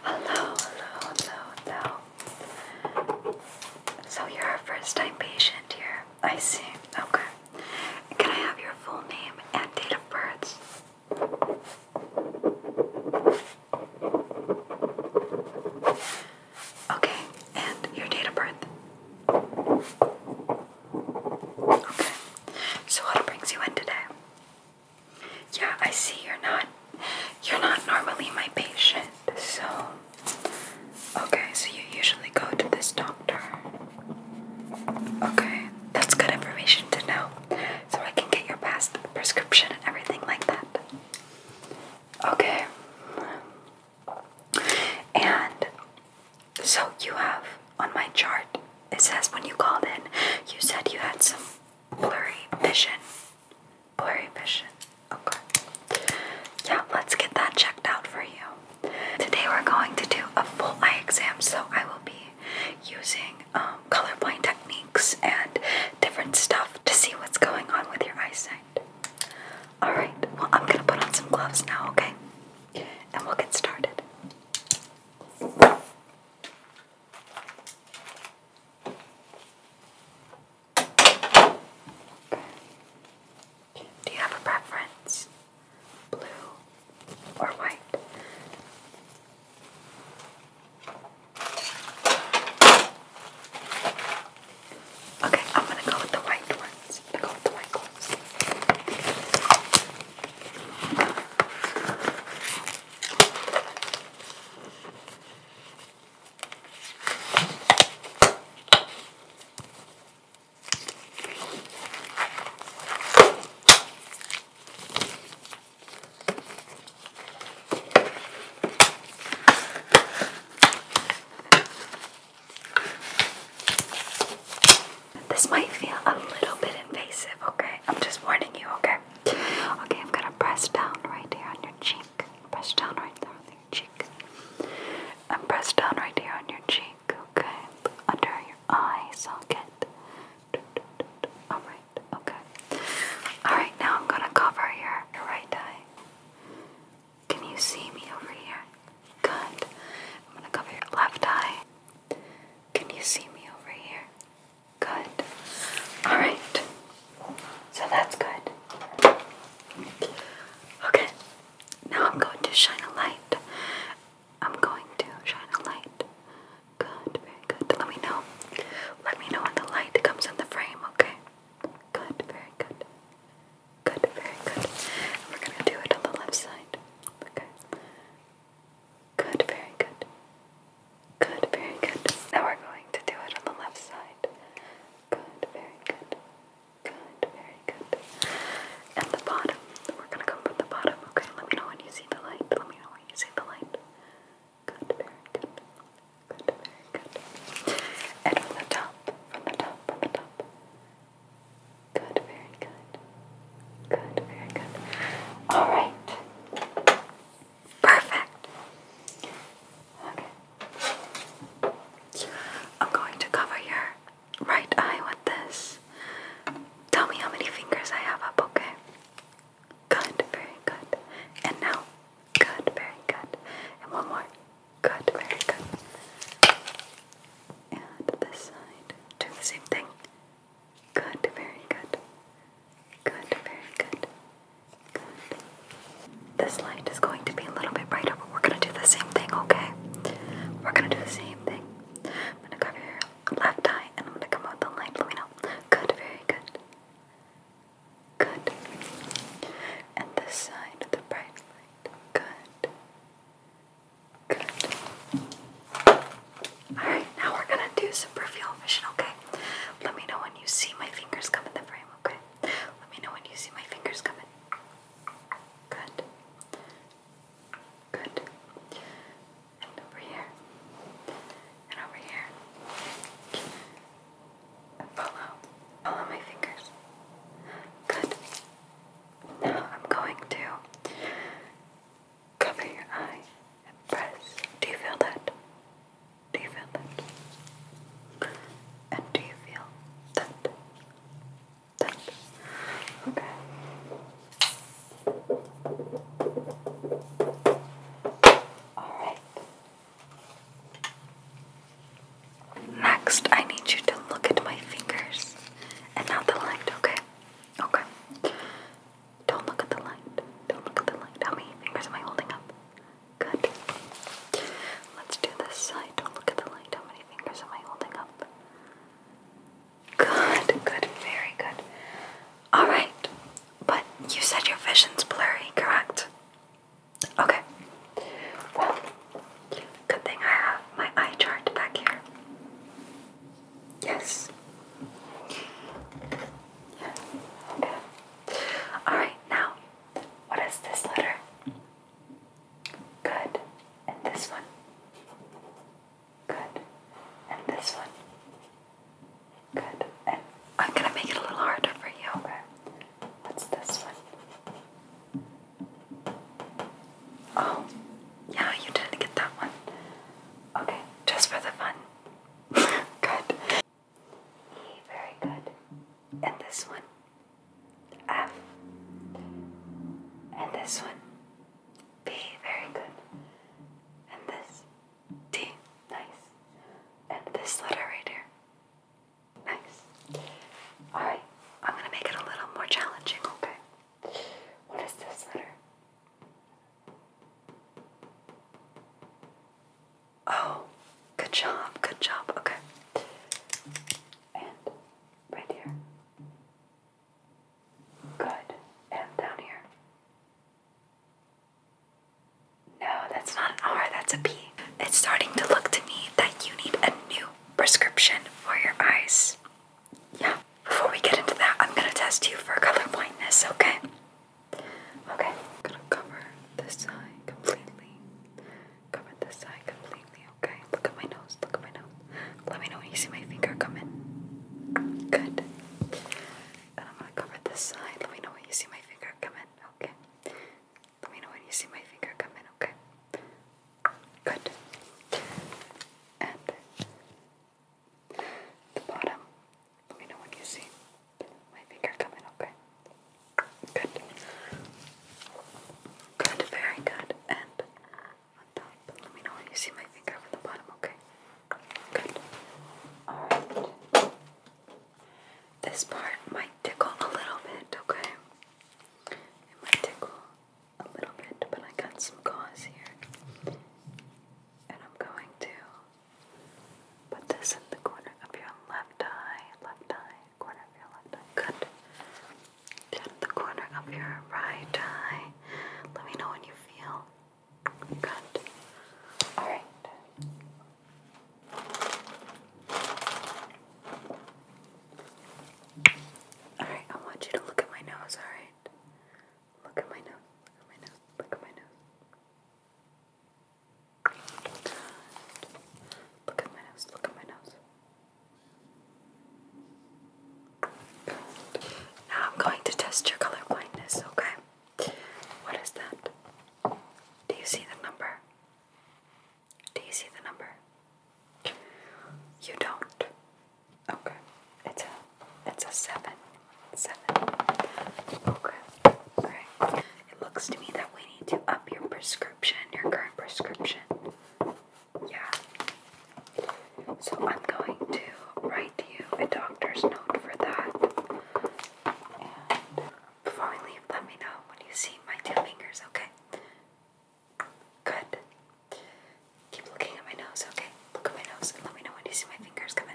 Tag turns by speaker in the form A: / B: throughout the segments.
A: Hello, hello, hello, hello. So you're a first-time patient here. I see. Okay. Can I have your full name and date of birth? Okay, and your date of birth. Okay, so what brings you in today? Yeah, I see you're not you're not normally my patient, so okay, so you usually go to this doctor. Okay, that's good information to know so I can get your past prescription and everything like that. Okay. And so you have on my chart, it says when you called in, you said you had some blurry vision. Blurry vision. Okay. Yeah, let's get that checked out for you. Today we're going to do a full eye exam, so I will be using um, colorblind techniques and different stuff to see what's going on with your eyesight. Alright, well, I'm gonna put on some gloves now, okay? And we'll get started. Do you have a preference? blue, or white. Okay, I'm gonna go with the white ones. i go with the white ones. This might feel a little bit invasive, okay? I'm just warning you, okay? Okay, I'm gonna press down right here on your cheek. Press down right there on your cheek. And press down right here on your cheek cheek, Under your eye socket. Alright, okay. Alright, now I'm gonna cover your, your right eye. Can you see me over here? Good. I'm gonna cover your left eye. Can you see me over here? Good. Alright. So that's good. Okay. Now I'm going to shine a light I'm going to shine a light. Good, very good. Let me know. Let me know when the light comes in the frame, okay? Good, very good. Good, very good. we're gonna do it on the left side. Okay. Good, very good. Good, very good. Now we're going to do it on the left side. Good, very good. Good, very good. And the bottom, we're gonna come from the bottom, okay? Let me know when you see the light. Let me know when you see the light. Good, very good. Good, very good. And from the top, from the top, from the top. Good, very good. Good, very good. Alright. Perfect. Okay. I'm going to cover your right eye with this. Tell me how many fingers I have up, okay? Good, very good. And now, good, very good. And one more. Good, very good. And this side, do the same thing. Good, very good. Good, very good. Good. This light is going to be a little bit brighter, but we're going to do the same thing, okay? We're going to do the same thing. I'm going to cover your left eye and I'm going to come out the light. Let me know. Good, very good. Good. And this side of the bright light. Good. Good. Alright, now we're gonna do some peripheral vision, okay? Let me know when you see my fingers coming in the frame, okay? Let me know when you see my fingers coming. Good. Good. And over here. And over here. follow. Follow my fingers. Good. Now I'm going to cover your eye and press. Do you feel that? Do you feel that? And do you feel that? That? Okay. All right. Next, I need you to look at my fingers and not the light, okay? Okay. Don't look at the light. Don't look at the light. How many fingers am I holding up? Good. Let's do this side. Don't look at the light. How many fingers am I holding up? Good, good, very good. Alright, but you said your vision's blurry, correct? Okay. Well, good thing I have my eye chart back here. Yes. Yeah. Okay. Alright, now what is this letter? Good. And this one? Good. And this one? Good. And I'm gonna make it a little harder for you. Okay. What's this one? Oh, yeah, you didn't get that one. Okay, just for the fun. Good. Very good. And this one, F. And this one, B. Very good. And this, D. Nice. And this letter right here. Nice. Alright, I'm gonna make it a little more challenging, okay? What is this letter? Oh, good job, good job. Okay. And right here. Good. And down here. No, that's not an R, that's a P. It's starting to look to me that you need a new prescription for your eyes. Yeah. Before we get into that, I'm gonna test you for color blindness, okay? Okay, I'm gonna cover this side completely. Cover this side completely, okay? Look at my nose, look at my nose. Let me know when you see my finger come Good. And I'm gonna cover this side. Let me know when you see my finger come okay? Let me know when you see my finger come okay? Good. And the bottom let me know when you see my finger coming, okay? Good. Good, very good. And let me know when you see my finger over the bottom, okay? Good. Alright. This part might tickle a little bit, okay? It might tickle a little bit, but I got some gauze here. And I'm going to Put this in the corner of your left eye, left eye, corner of your left eye. Good. Get the corner of your right eye. Let me know when you feel. Good. All right. All right, I want you to look at my nose, all right? Look at my nose, look at my nose, look at my nose. Look at my nose, look at my nose. Now I'm going to test your color blindness, okay? What is that? Do you see the number? Do you see the number? You don't. Okay. It's a it's a seven. Seven. Okay. Alright. It looks to me that we need to up your prescription, your current prescription. Yeah. So I'm going to write you a doctor's note for that. And before we leave, let me know when you see my two fingers, okay? Good. Keep looking at my nose, okay? Look at my nose and let me know when you see my fingers come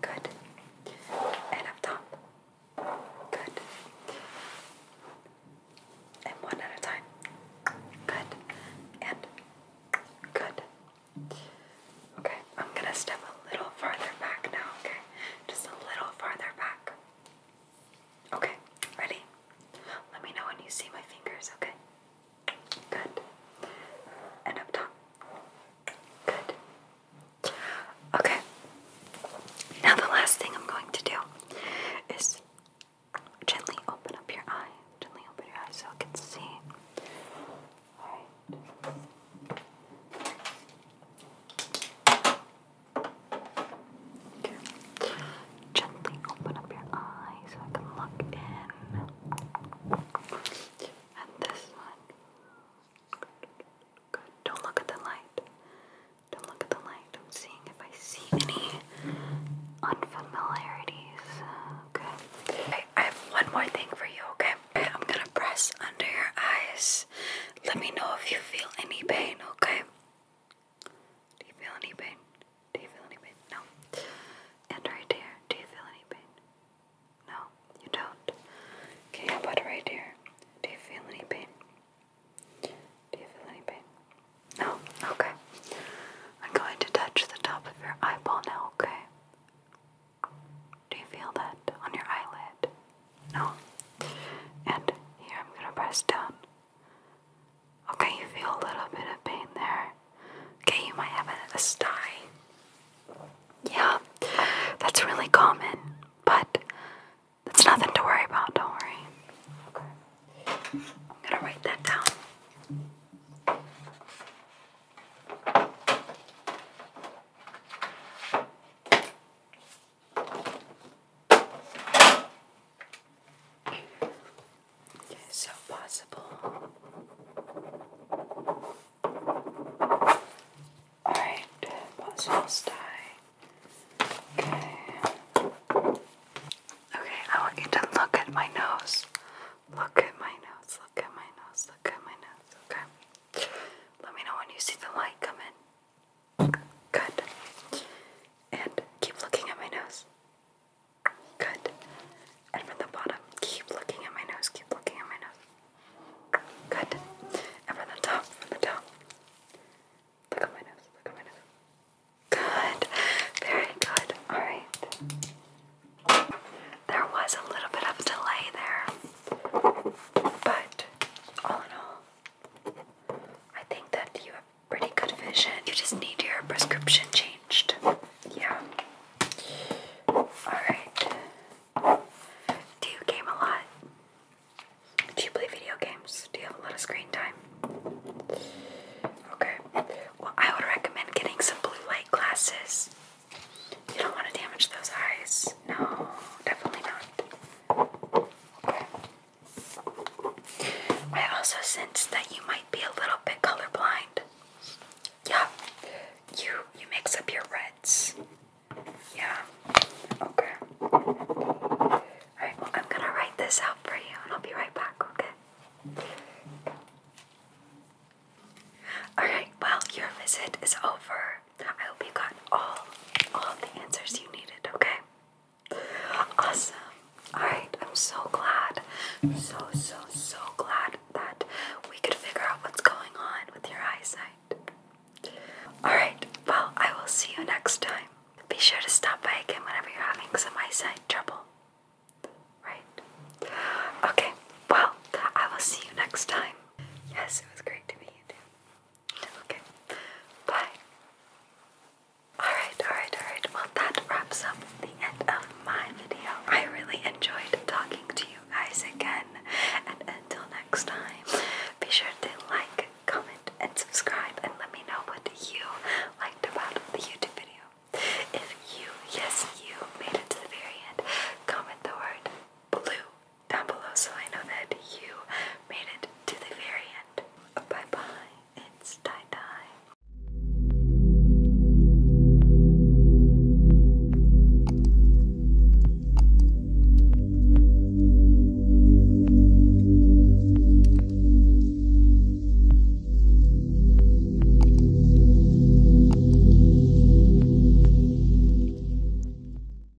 A: Good. And up top. Good. And one at a time. Good. And good. Okay, I'm gonna step a little farther back now, okay? Just a little farther back. Okay, ready? Let me know when you see my fingers, okay? Good. And up top. Good. Okay. Now, the last thing I'm going to do is gently open up your eye. Gently open your eye so I can see. Alright. Gently open up your eye so I can look in. Don't look at the light. Don't look at the light. I'm seeing if I see any unfamiliarities. Okay. I have one more thing for you, okay? I'm gonna press under your eyes. Let me know if you feel any pain, okay? Do you feel any pain? Do you feel any pain? No. And right here, do you feel any pain? No, you don't. Okay, how about right here? Do you feel any pain? Do you feel any pain? No? Okay. I'm going to touch the top of your eyeball now, okay? Do you feel that on your eyelid? No? And here I'm going to press down. Okay, you feel a little bit of pain there. Okay, you might have a, a sty. Yeah, that's really common, but it's nothing to worry about, don't worry. Okay. I'm gonna write that down. Okay, so possible. Alright, possible sty. Okay. Okay, I want you to look at my nose. Look at my nose, look at my nose, look at my nose, okay? Let me know when you see the light come in. Good. And keep looking at my nose. Good. And from the bottom, keep looking at my nose, keep looking at my nose. Good. And from the top, from the top. Look at my nose, look at my nose. Good. Very good. Alright. There was a little bit of delay there. But all in all, I think that you pretty good vision. You just need your prescription changed. Yeah. Alright. Do you game a lot? Do you play video games? Do you have a lot of screen time? Okay. Well, I would recommend getting some blue light glasses. You don't want to damage those eyes. No, definitely not. I also sense that you might be a little bit colorblind. Yeah, you you mix up your reds. Yeah. Okay. Alright, well I'm gonna write this out for you and I'll be right back, okay? Alright, well your visit is over. I hope you got all all of the answers you needed, okay? Awesome. Alright, I'm so glad. So, so, so glad that we could figure out what's going on with your eyesight. Alright, well, I will see you next time. Be sure to stop by again whenever you're having some eyesight trouble. Right? Okay, well, I will see you next time. Yes, it was great to meet you too. Okay. Bye. Alright, alright, alright. Well, that wraps up the end of my video. I really enjoyed talking to you guys again. And until next time, be sure to like, comment, and subscribe, and let me know what you liked about the YouTube video. If you, yes, you made it to the very end, comment the word blue down below so I know that you made it to the very end. Bye bye. It's tie